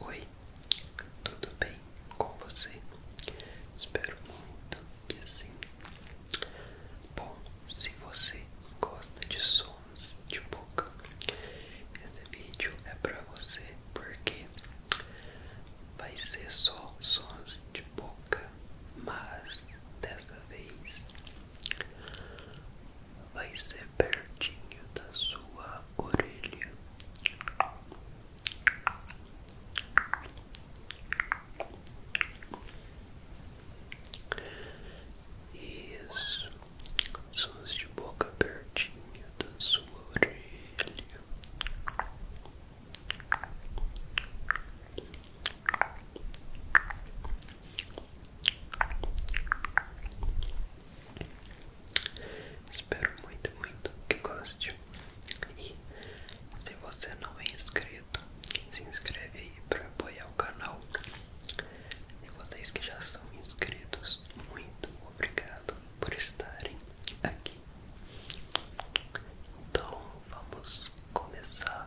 Oi, tudo bem com você? Espero muito que assim. Bom, se você gosta de sons de boca, esse vídeo é para você porque vai ser só sons de boca, mas dessa vez vai ser pertinho da sua orelha. Isso, sons de boca pertinho da sua orelha. Espero muito, muito que goste. E se você não é inscrito, se inscreve aí para apoiar o canal. E vocês que já são inscritos, muito obrigado por estarem aqui. Então vamos começar.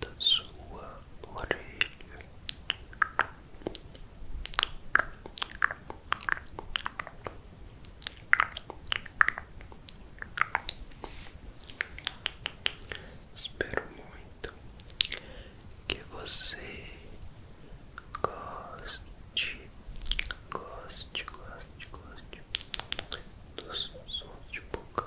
da sua orelha. Espero muito que você goste, goste, goste, goste dos sons de boca.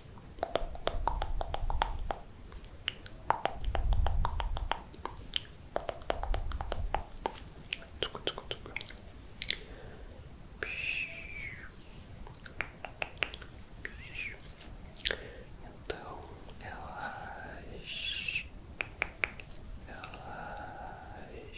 Então, relaxe, relaxe, relaxe.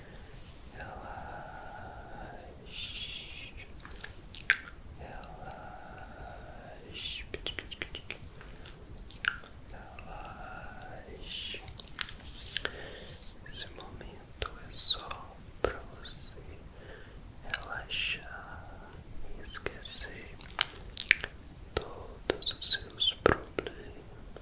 relaxe, relaxe, relaxe. Esse momento é só para você relaxar e esquecer todos os seus problemas.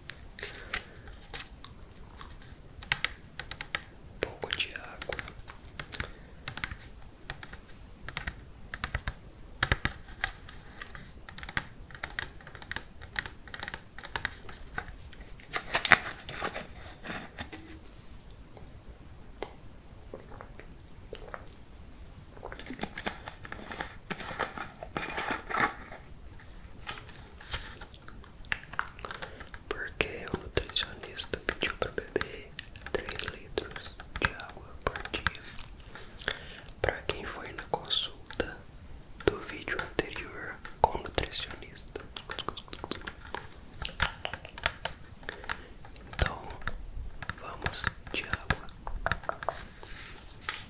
um pouco de água. Porque o nutricionista pediu para beber 3 litros de água por dia. Para quem foi na consulta do vídeo anterior com o nutricionista. Então, vamos de água.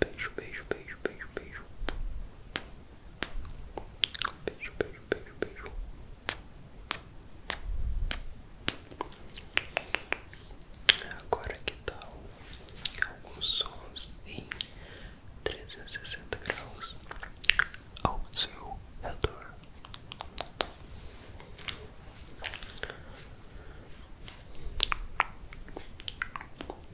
Beijo, beijo, beijo, beijo, beijo. Beijo, beijo, beijo, beijo. Agora que tal tá alguns sons em trezentos e sessenta graus ao seu redor?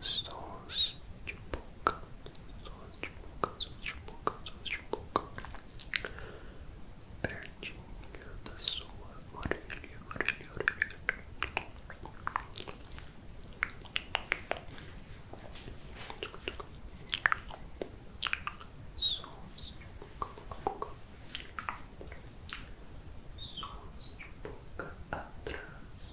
sons de boca, sons de boca, sons de boca, sons de boca, pertinho da sua orelha, orelha, orelha. Sons de boca, boca, boca. Sons de boca atrás,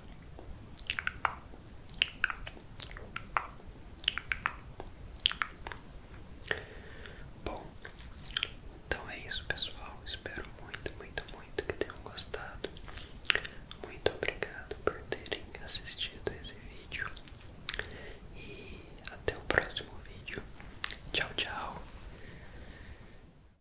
Bom, então é isso, pessoal. Espero muito, muito, muito que tenham gostado. Muito obrigado por terem assistido esse vídeo. E até o próximo vídeo. Tchau, tchau.